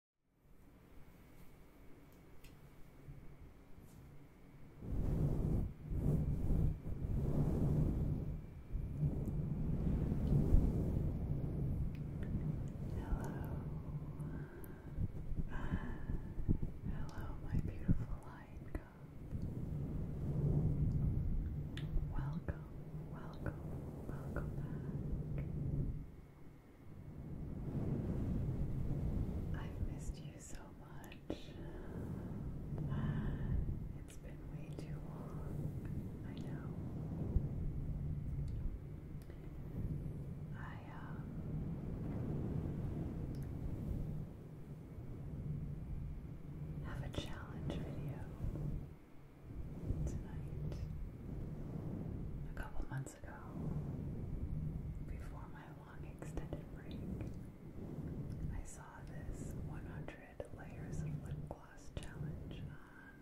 Hello. Uh, hello, my beautiful light Welcome, welcome, welcome back. I've missed you so much. It's been way too long. I know. I, um. Have a challenge video tonight. A couple months before my long extended break, I saw this 100 Layers of Lip Gloss Challenge on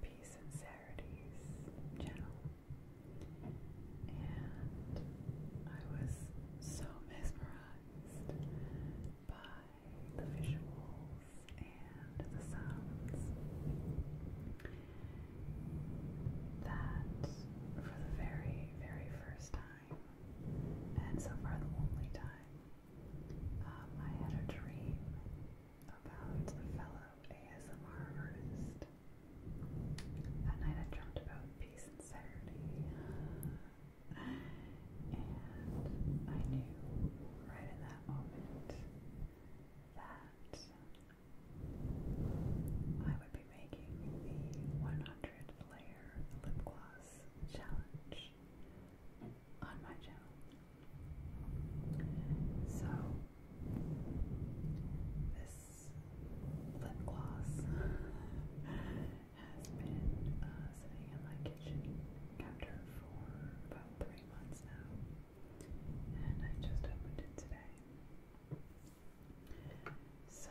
Peace and channel. And I was so mesmerized by the visuals and and the sounds that for the very, very first time, and so far the only time, um, I had a dream about a fellow ASMR artist. That night I dreamt about peace and serenity, And I knew right in that moment that I would be making the 100 layer lip gloss challenge on my channel. So, this lip gloss has been uh, sitting in my kitchen counter for about three months now and I just opened it today. So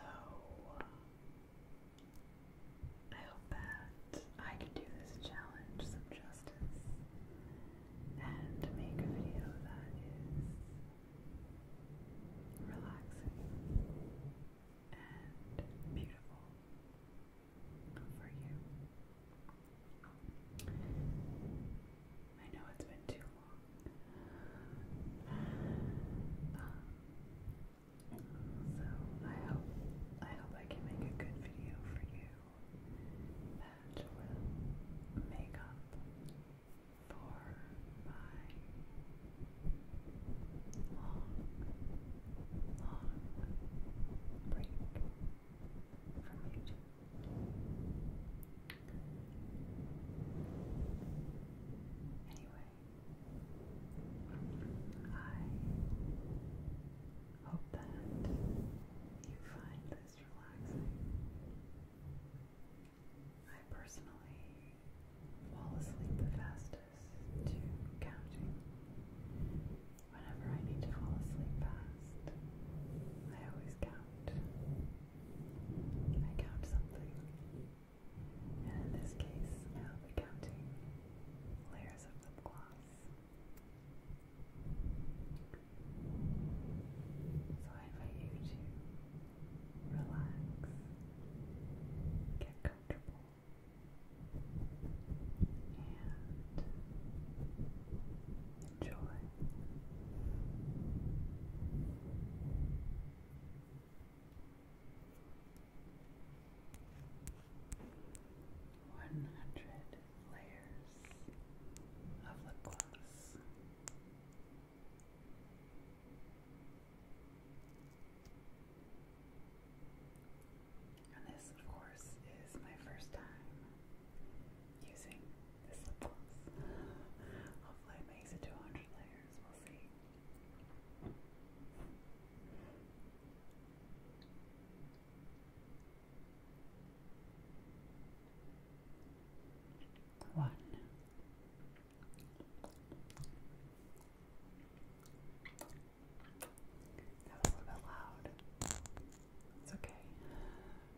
I hope that I can do this challenge some justice and make a video that is relaxing and beautiful for you. I know it's been too long. Um, so I hope I hope I can make a good video for you that will make up for my long, long break from Anyway, I hope that you find this relaxing. I personally fall asleep the fastest to counting. Whenever I need to fall asleep fast, I always count count. I count something. And in this case, I'll be counting layers of lip gloss. So I invite you to relax, get comfortable, and enjoy. One hundred layers of lip gloss. And this, of course, is my first time using this lip gloss. Hopefully it makes it to 100 layers, we'll see. One. That a little bit loud. It's okay.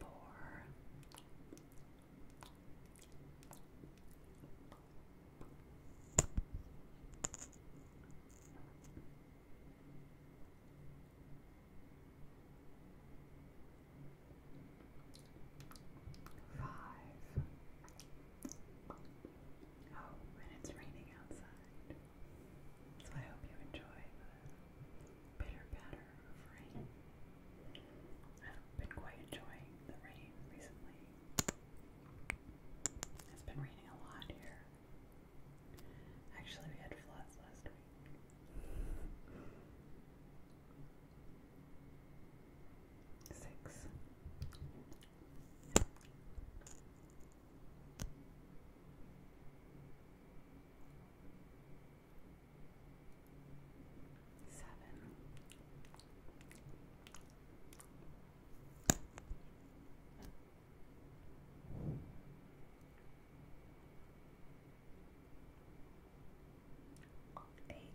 Four. Five. Oh, and it's raining outside. So I hope you enjoy the bitter patter of rain. I've been quite enjoying the rain recently. It's been raining a lot here. Actually, we had floods last week. Six Seven. Eight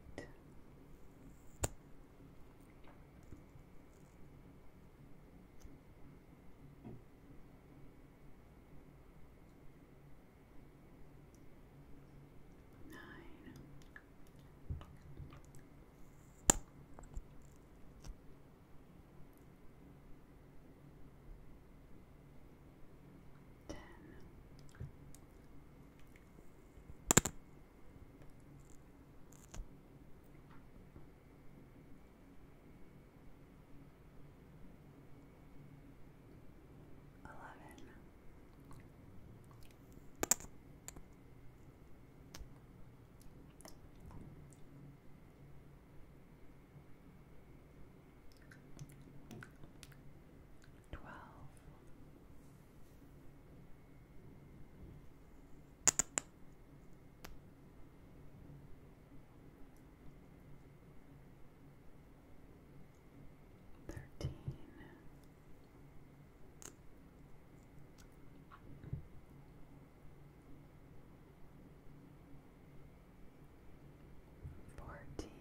nine. Ten. Eleven. Twelve. Thirteen. Fourteen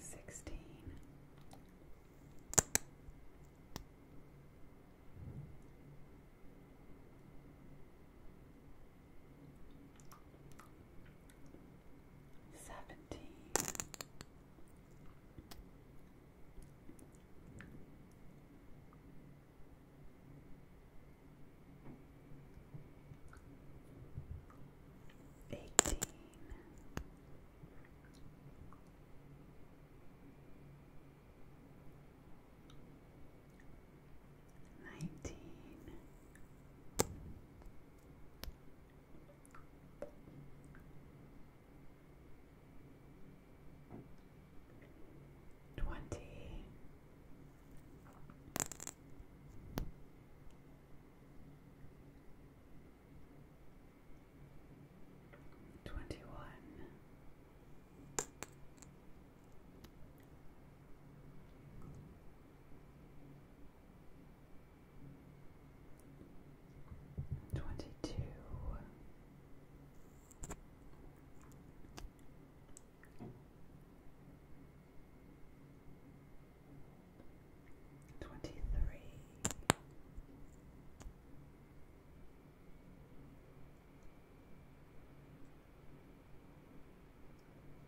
fifteen. Sixteen, seventeen, eighteen nineteen, twenty. Twenty two. Twenty three,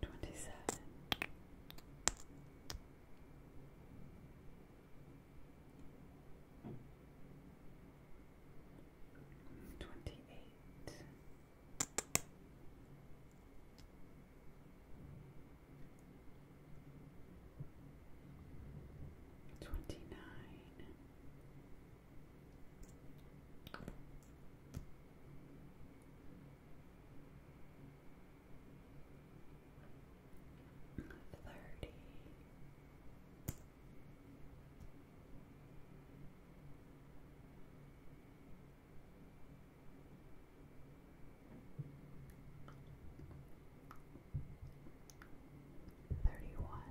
Twenty-seven. Twenty-eight. Twenty nine. Thirty-one.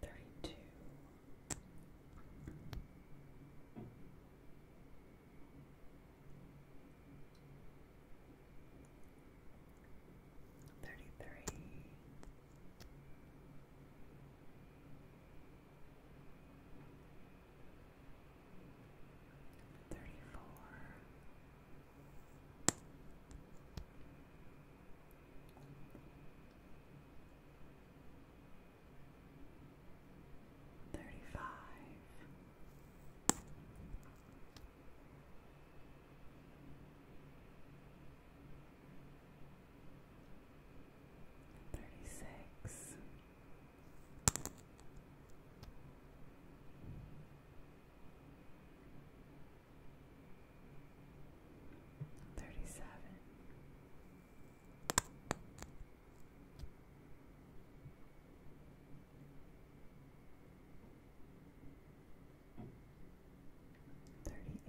Thirty-two. Thirty-three. Thirty-four. Thirty-five. Thirty-six. Thirty-seven. Thirty-eight.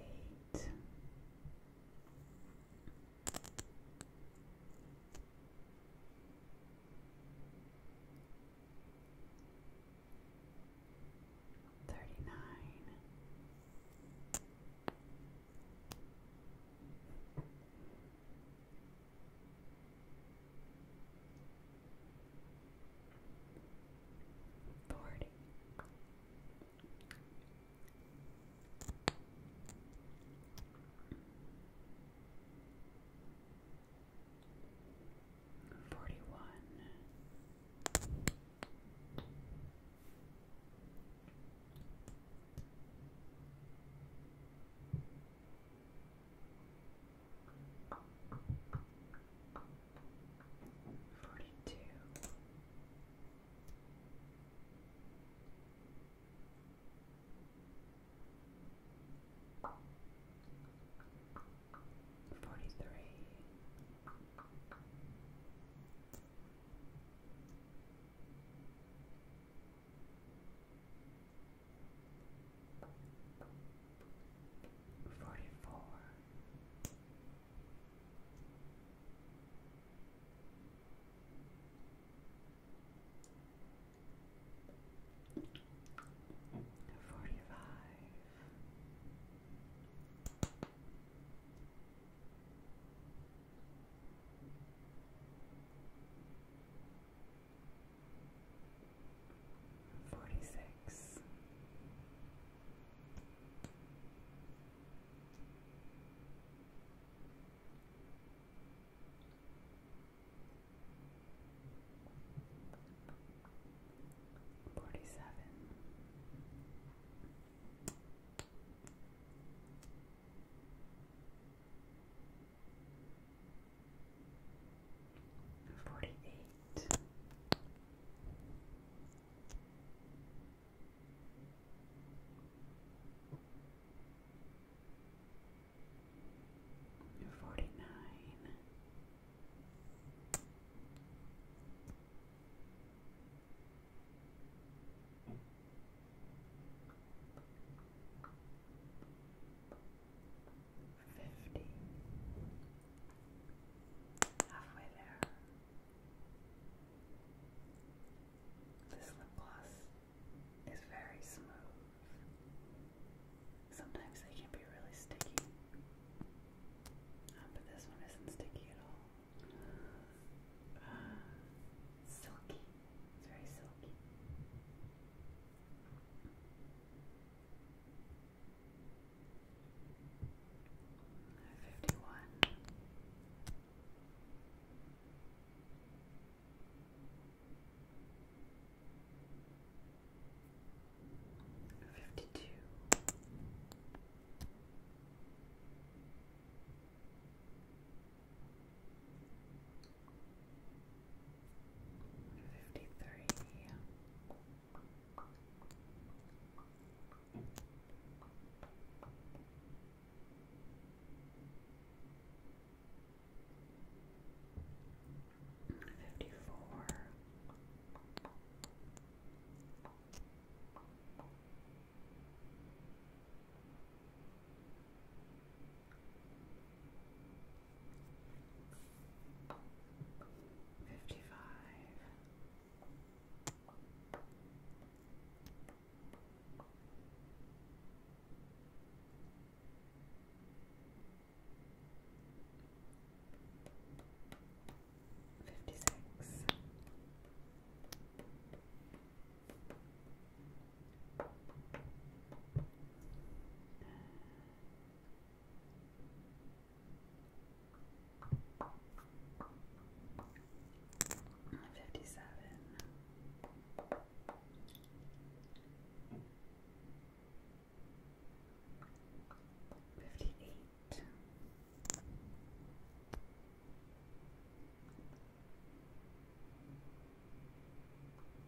Thirty-nine. Forty. Forty Forty-two. Forty-three. Forty-four. Forty-four. Forty-five. Forty-six. Forty-seven. Forty-eight. forty nine. Forty fifty. Halfway there. This lip gloss is very smooth. Sometimes they can be really sticky, uh, but this one isn't sticky at all. Uh, silky. It's very silky fifty one. Fifty two, Fifty-three. Fifty-four fifty five. Fifty six, Fifty seven. Fifty eight.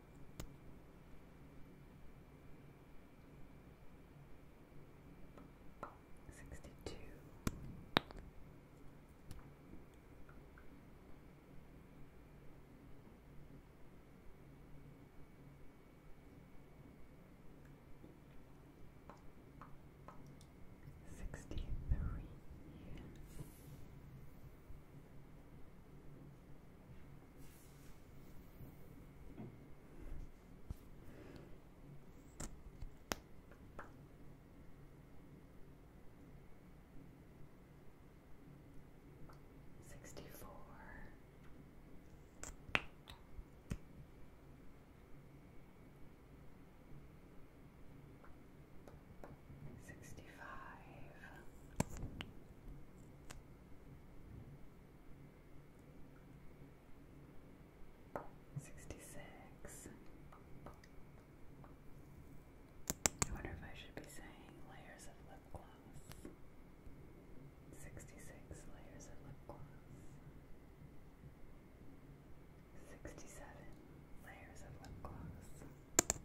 62 63 Sixty four. Sixty five. Sixty-six. I wonder if I should be saying layers of lip gloss. Sixty-six layers of lip gloss. Sixty-seven layers of lip gloss.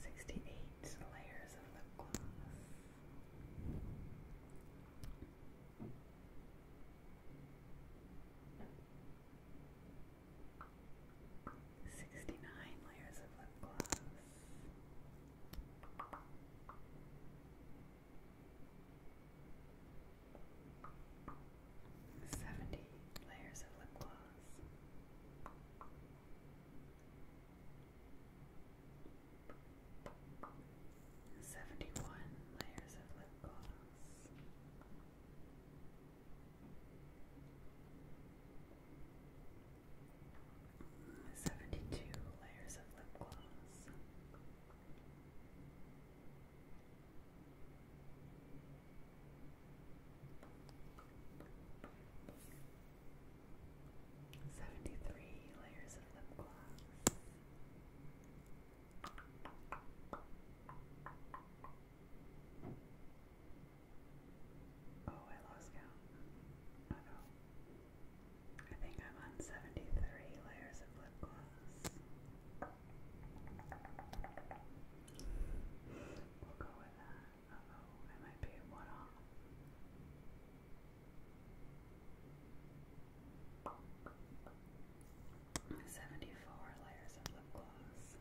68 layers of lip gloss. Sixty nine layers of lip gloss. 70 layers of lip gloss. Seventy one layers of lip gloss, seventy two layers of lip gloss, Seventy-three layers of lip gloss. Oh, I lost count. no. I think I'm on 73 layers of lip gloss. We'll go with that. oh, I might be one off. Seventy-four layers of lip gloss.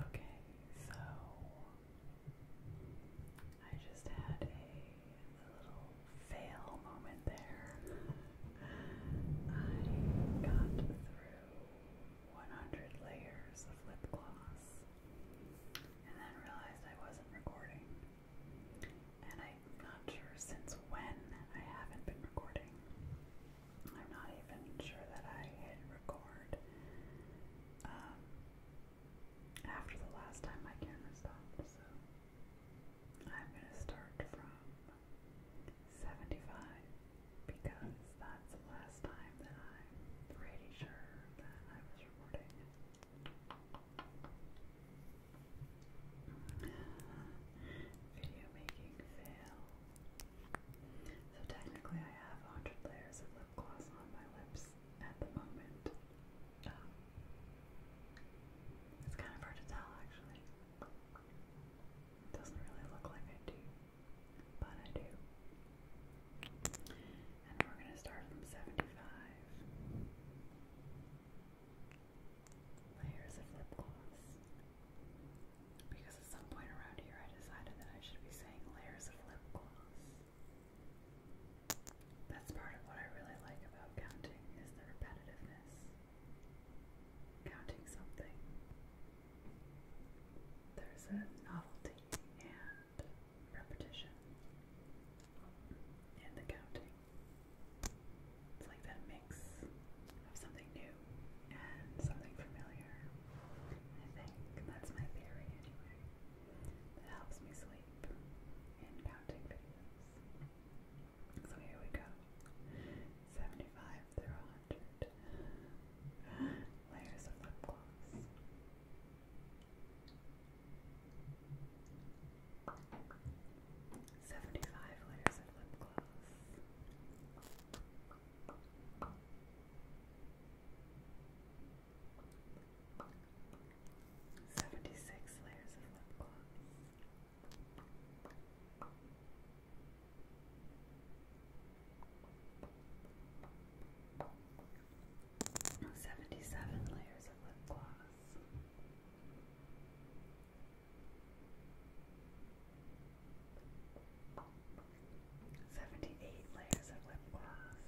Okay, so I just had a little fail moment there. I got through 100 layers of lip gloss and then realized I wasn't recording. And I'm not sure since when I haven't been recording. I'm not even sure that I hit record. Um, after the last time my camera stopped, so I'm gonna start from 75 because that's the last time that I'm pretty sure that I was recording. Video making fail. So technically I have 100 layers of lip gloss on my lips at the moment. Um, it's kind of hard to tell actually. doesn't really look like I do, but I do. And we're going to start from 75. Layers of lip gloss. Because at some point around here I decided that I should be saying layers of lip gloss. That's part of what I really like about counting is the repetitiveness. Counting something. There's a novelty and repetition in the counting. It's like that mix of something new and something familiar. I think that's my theory anyway. That helps me sleep in counting videos. So here we go. 75 through 100 layers of lip gloss. Seventy-five layers of lip gloss. Seventy six layers of lip gloss. Seventy seven layers of lip gloss. Seventy eight layers of lip gloss.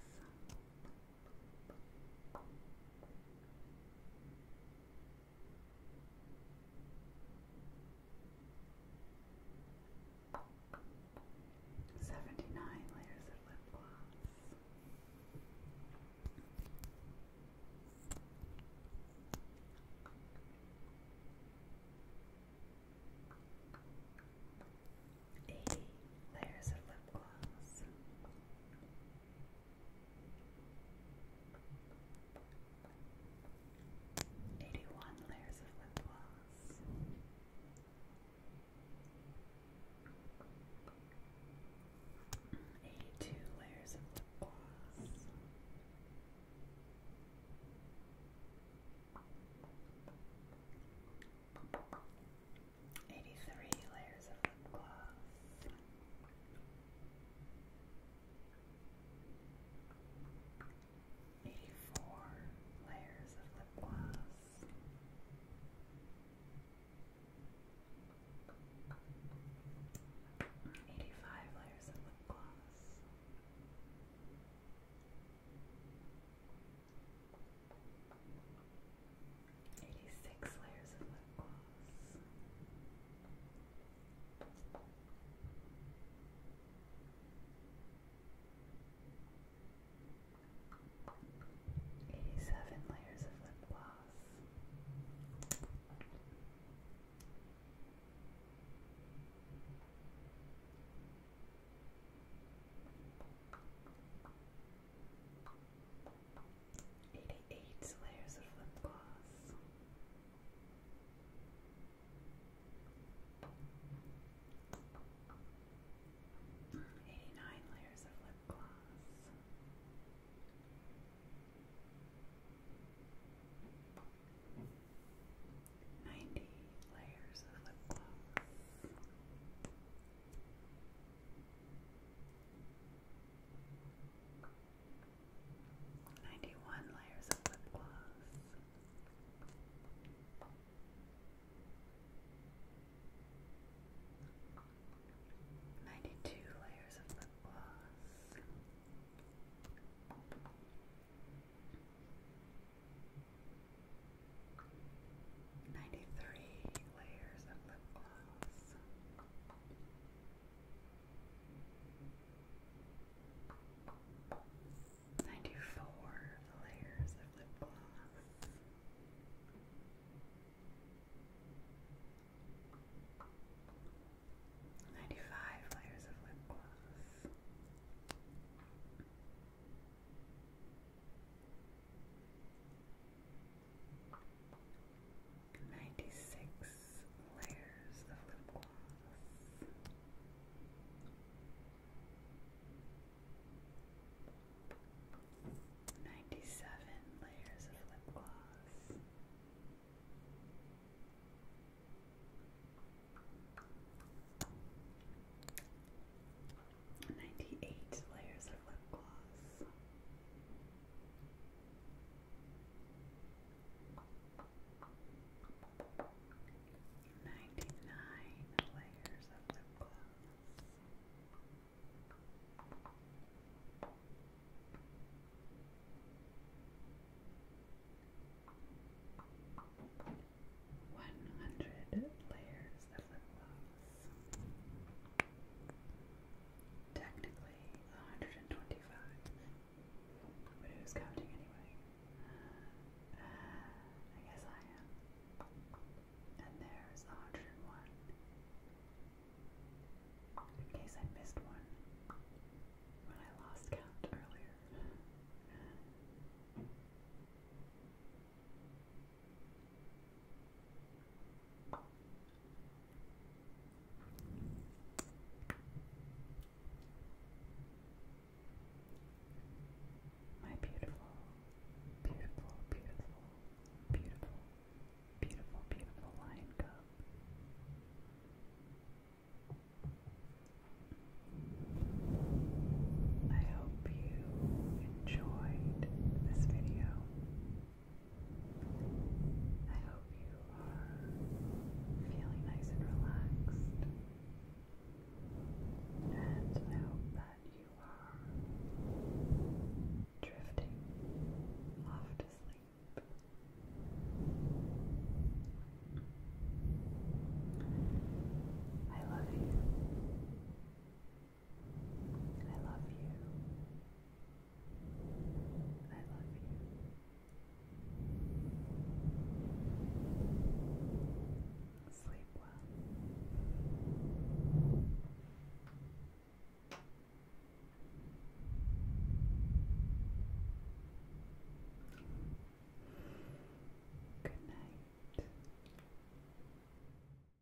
Seventy nine layers of lip gloss. 80 layers of lip gloss. Eighty-one layers of lip gloss. Eighty-two layers of lip gloss. 83 layers of lip gloss. Eighty-four layers of lip gloss, eighty-five layers of lip gloss, 86 layers of lip gloss. Eighty-seven layers of lip gloss. 88 layers of lip gloss. Eighty-nine layers of lip gloss. Ninety layers of lip gloss. 91 layers of lip gloss. Ninety-two layers of lip gloss. Ninety-three layers of lip gloss. Ninety-four layers of lip gloss. Ninety-five layers of lip gloss. 96 layers of lip gloss. Ninety-seven layers of lip gloss. Ninety-eight layers of lip gloss. Ninety-nine layers of lip gloss. One hundred layers of lip gloss. Technically, 125, but who's counting anyway? Uh, I guess I am. And there's 101. In case I missed one when I lost count earlier. My beautiful, beautiful, beautiful, beautiful, beautiful, beautiful lion cub. I hope you enjoyed this video. I hope you are feeling nice and relaxed. And I hope that you are drifting off to sleep. I love you. I love you. I love you. Sleep well. Good night.